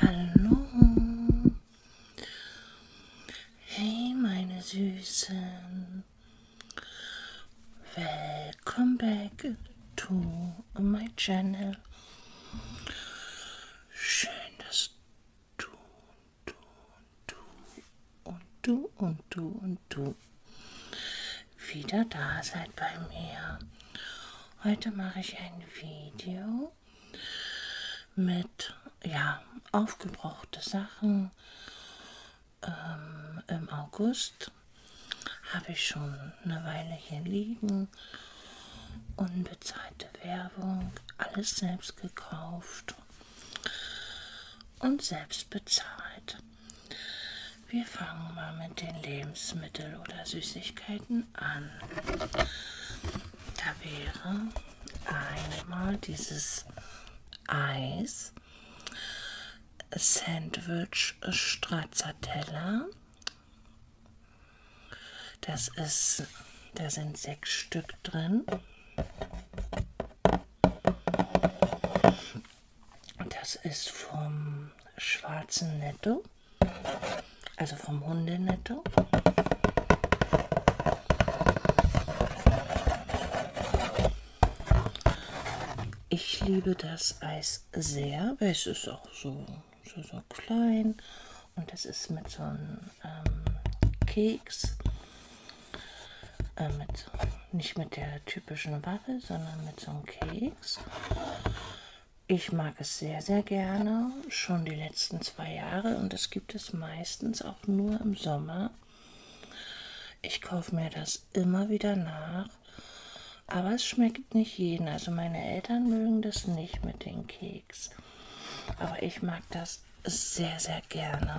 Hallo. Hey, meine Süßen. Welcome back to my channel. Schön, dass du, du, du und du und du und du wieder da seid bei mir. Heute mache ich ein Video mit ja, aufgebrauchte Sachen. Ähm, Im August habe ich schon eine Weile hier liegen. Unbezahlte Werbung, alles selbst gekauft und selbst bezahlt. Wir fangen mal mit den Lebensmitteln oder Süßigkeiten an. Da wäre einmal dieses Eis, Sandwich Stracciatella. Das ist, da sind sechs Stück drin. Das ist vom schwarzen Netto, also vom Hundenetto. Ich liebe das Eis sehr, weil es ist auch so, so, so klein und das ist mit so einem ähm, Keks äh, mit, nicht mit der typischen Waffe, sondern mit so einem Keks. Ich mag es sehr, sehr gerne, schon die letzten zwei Jahre und das gibt es meistens auch nur im Sommer. Ich kaufe mir das immer wieder nach, aber es schmeckt nicht jeden. Also meine Eltern mögen das nicht mit den Keks, aber ich mag das sehr, sehr gerne.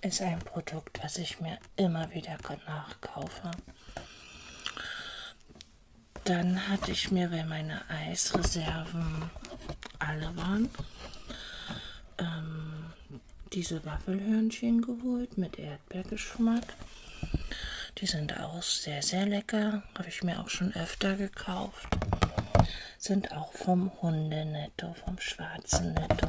Ist ein Produkt, was ich mir immer wieder nachkaufe. Dann hatte ich mir, weil meine Eisreserven alle waren, ähm, diese Waffelhörnchen geholt mit Erdbeergeschmack. Die sind auch sehr, sehr lecker. Habe ich mir auch schon öfter gekauft sind auch vom Hundenetto, vom schwarzen Netto.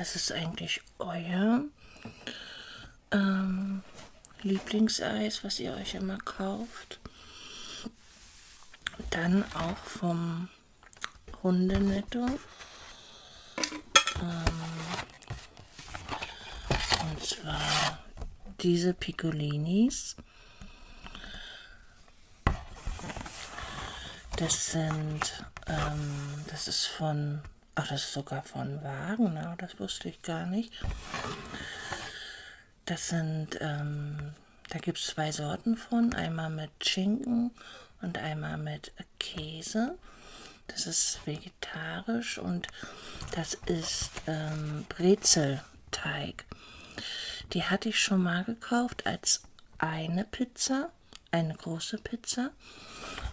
Was ist eigentlich euer ähm, Lieblingseis, was ihr euch immer kauft? Dann auch vom Runde netto. Ähm, und zwar diese Piccolinis. Das sind, ähm, das ist von, ach, das ist sogar von Wagner, das wusste ich gar nicht. Das sind, ähm, da gibt es zwei Sorten von, einmal mit mit Schinken und einmal mit Käse. Das ist vegetarisch und das ist ähm, Brezelteig. Die hatte ich schon mal gekauft als eine Pizza, eine große Pizza.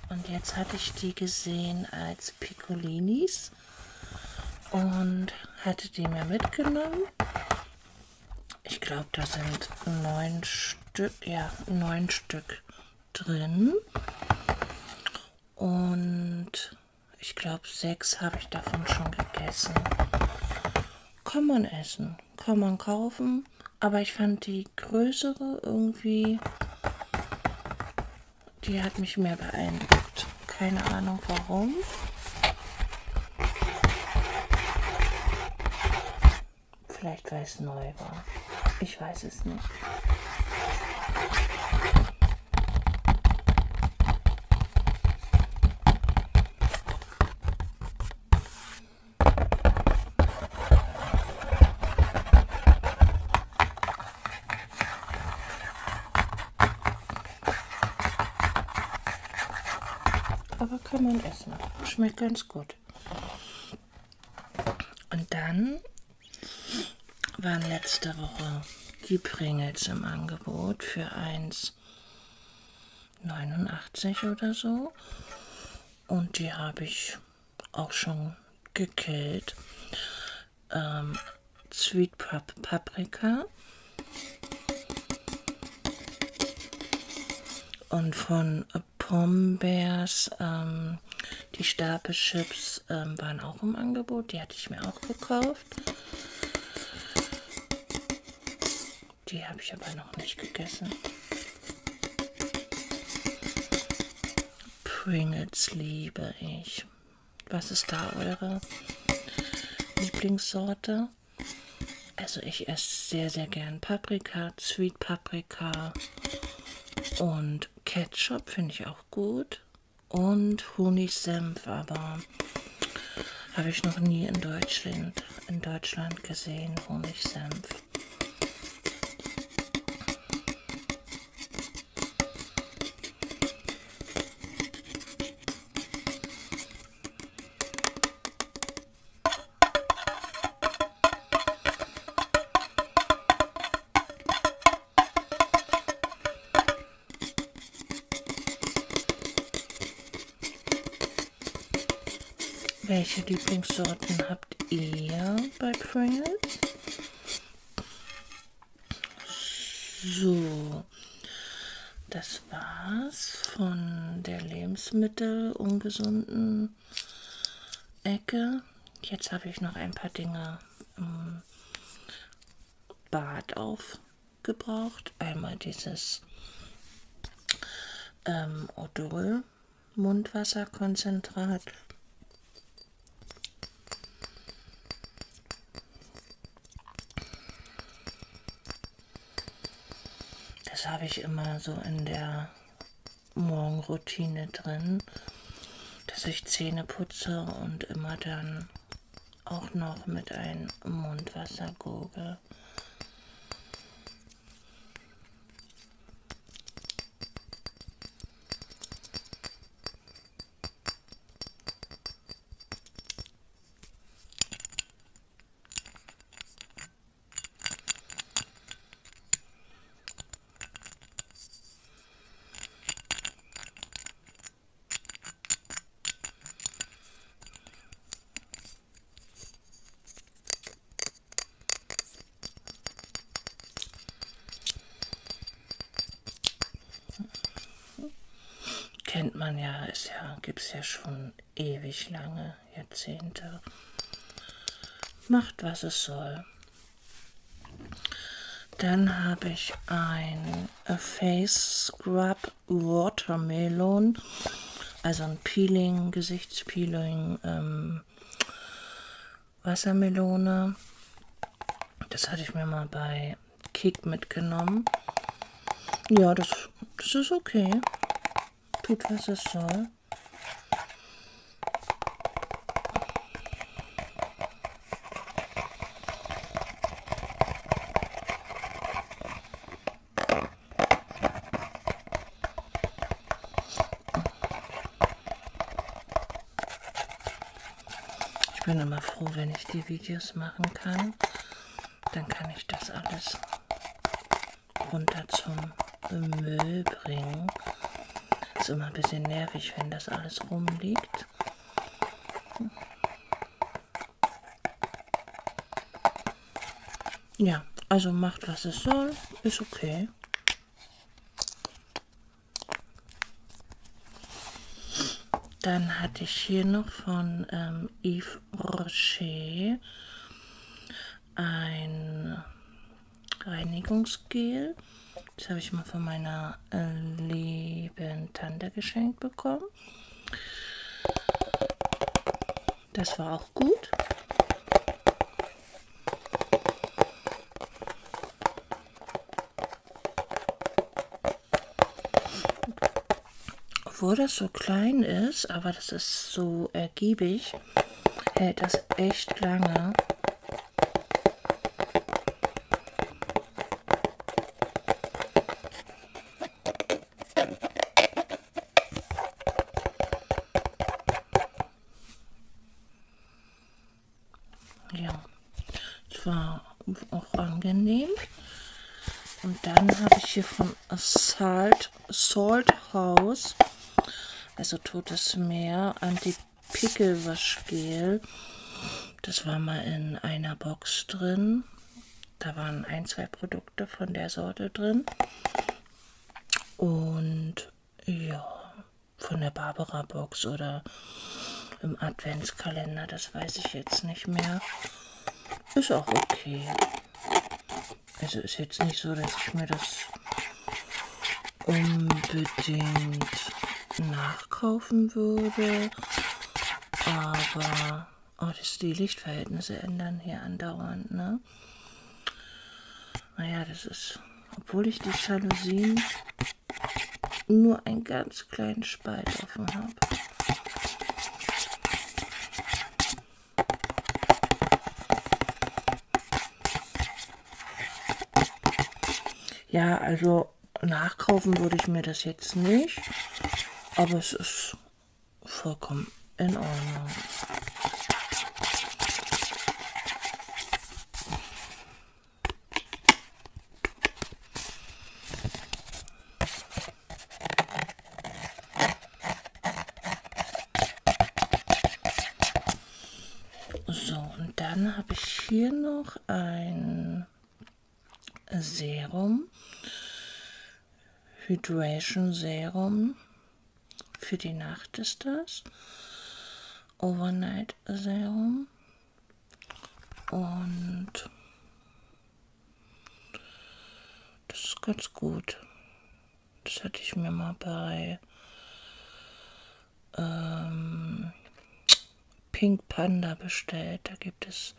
Und jetzt hatte ich die gesehen als Piccolinis und hatte die mir mitgenommen. Ich glaube, da sind neun Stück, ja, neun Stück drin. Und ich glaube, sechs habe ich davon schon gegessen. Kann man essen, kann man kaufen. Aber ich fand die größere irgendwie, die hat mich mehr beeindruckt. Keine Ahnung warum. Vielleicht weil es neu war. Ich weiß es nicht. Aber kann man essen. Schmeckt ganz gut gut. Und dann waren letzte Woche die Pringles im Angebot für 1,89 oder so. Und die habe ich auch schon gekillt. Ähm, Sweet Pap Paprika. Und von Pombeers, ähm, die Stapelchips ähm, waren auch im Angebot. Die hatte ich mir auch gekauft. Die habe ich aber noch nicht gegessen. Pringles liebe ich. Was ist da eure Lieblingssorte? Also ich esse sehr, sehr gern Paprika, Sweet Paprika, und Ketchup finde ich auch gut. Und Honigsenf, aber habe ich noch nie in Deutschland, in Deutschland gesehen, Honigsenf. Welche Lieblingssorten habt ihr bei Pringles? So, das war's von der lebensmittelungesunden Ecke. Jetzt habe ich noch ein paar Dinge im Bad aufgebraucht. Einmal dieses ähm, Odol Mundwasserkonzentrat. Das habe ich immer so in der Morgenroutine drin, dass ich Zähne putze und immer dann auch noch mit einem Mundwasser gurgle. Kennt man ja, ist ja, gibt es ja schon ewig lange. Jahrzehnte. Macht, was es soll. Dann habe ich ein A Face Scrub Watermelon, also ein Peeling, Gesichtspeeling, ähm, Wassermelone. Das hatte ich mir mal bei Kick mitgenommen. Ja, das, das ist okay. Tut, was es soll. Ich bin immer froh, wenn ich die Videos machen kann. Dann kann ich das alles runter zum Müll bringen. Ist immer ein bisschen nervig, wenn das alles rumliegt. Ja, also macht, was es soll. Ist okay. Dann hatte ich hier noch von ähm, Yves Rocher ein Reinigungsgel. Das habe ich mal von meiner äh, lieben Tante geschenkt bekommen. Das war auch gut. Obwohl das so klein ist, aber das ist so ergiebig hält das echt lange. Ja, das war auch angenehm. Und dann habe ich hier von Assault Salt, Salt House, also Totes Meer, Anti-Pickelwaschgel. Das war mal in einer Box drin. Da waren ein, zwei Produkte von der Sorte drin. Und ja, von der Barbara Box oder im Adventskalender, das weiß ich jetzt nicht mehr. Ist auch okay. Also ist jetzt nicht so, dass ich mir das unbedingt nachkaufen würde. Aber oh, das, die Lichtverhältnisse ändern hier andauernd, ne? Naja, das ist, obwohl ich die Jalousien nur einen ganz kleinen Spalt offen habe. Ja, also nachkaufen würde ich mir das jetzt nicht, aber es ist vollkommen in Ordnung. So, und dann habe ich hier noch ein Serum, Hydration Serum, für die Nacht ist das, Overnight Serum und das ist ganz gut. Das hatte ich mir mal bei ähm, Pink Panda bestellt. Da gibt es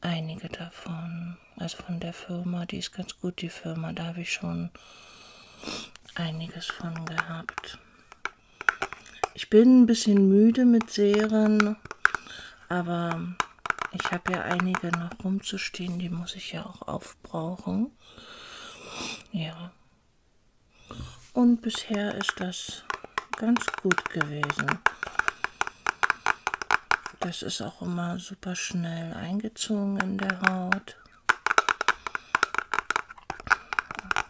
einige davon. Also von der Firma, die ist ganz gut, die Firma. Da habe ich schon einiges von gehabt. Ich bin ein bisschen müde mit Serien, aber ich habe ja einige noch rumzustehen, die muss ich ja auch auf Kopf brauchen. Ja. Und bisher ist das ganz gut gewesen. Das ist auch immer super schnell eingezogen in der Haut.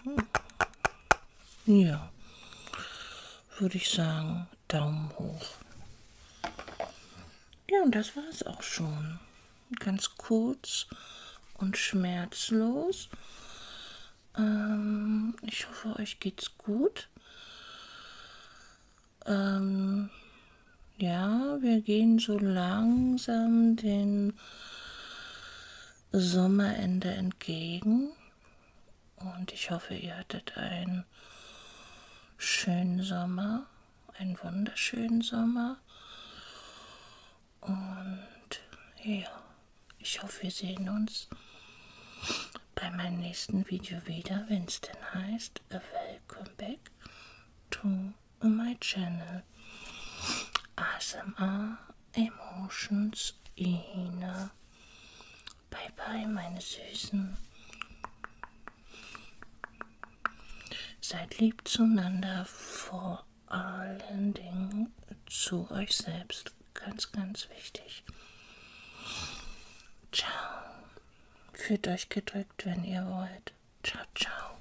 Mhm. Ja, würde ich sagen, Daumen hoch. Ja, und das war es auch schon ganz kurz und schmerzlos. Ähm, ich hoffe, euch geht's gut. Ähm, ja, wir gehen so langsam den Sommerende entgegen. Und ich hoffe, ihr hattet einen schönen Sommer einen wunderschönen Sommer. Und ja, ich hoffe, wir sehen uns bei meinem nächsten Video wieder, wenn es denn heißt, welcome back to my channel. ASMR Emotions Ina. Bye bye, meine Süßen. Seid lieb zueinander, vor allen Dingen zu euch selbst. Ganz, ganz wichtig. Ciao. Fühlt euch gedrückt, wenn ihr wollt. Ciao, ciao.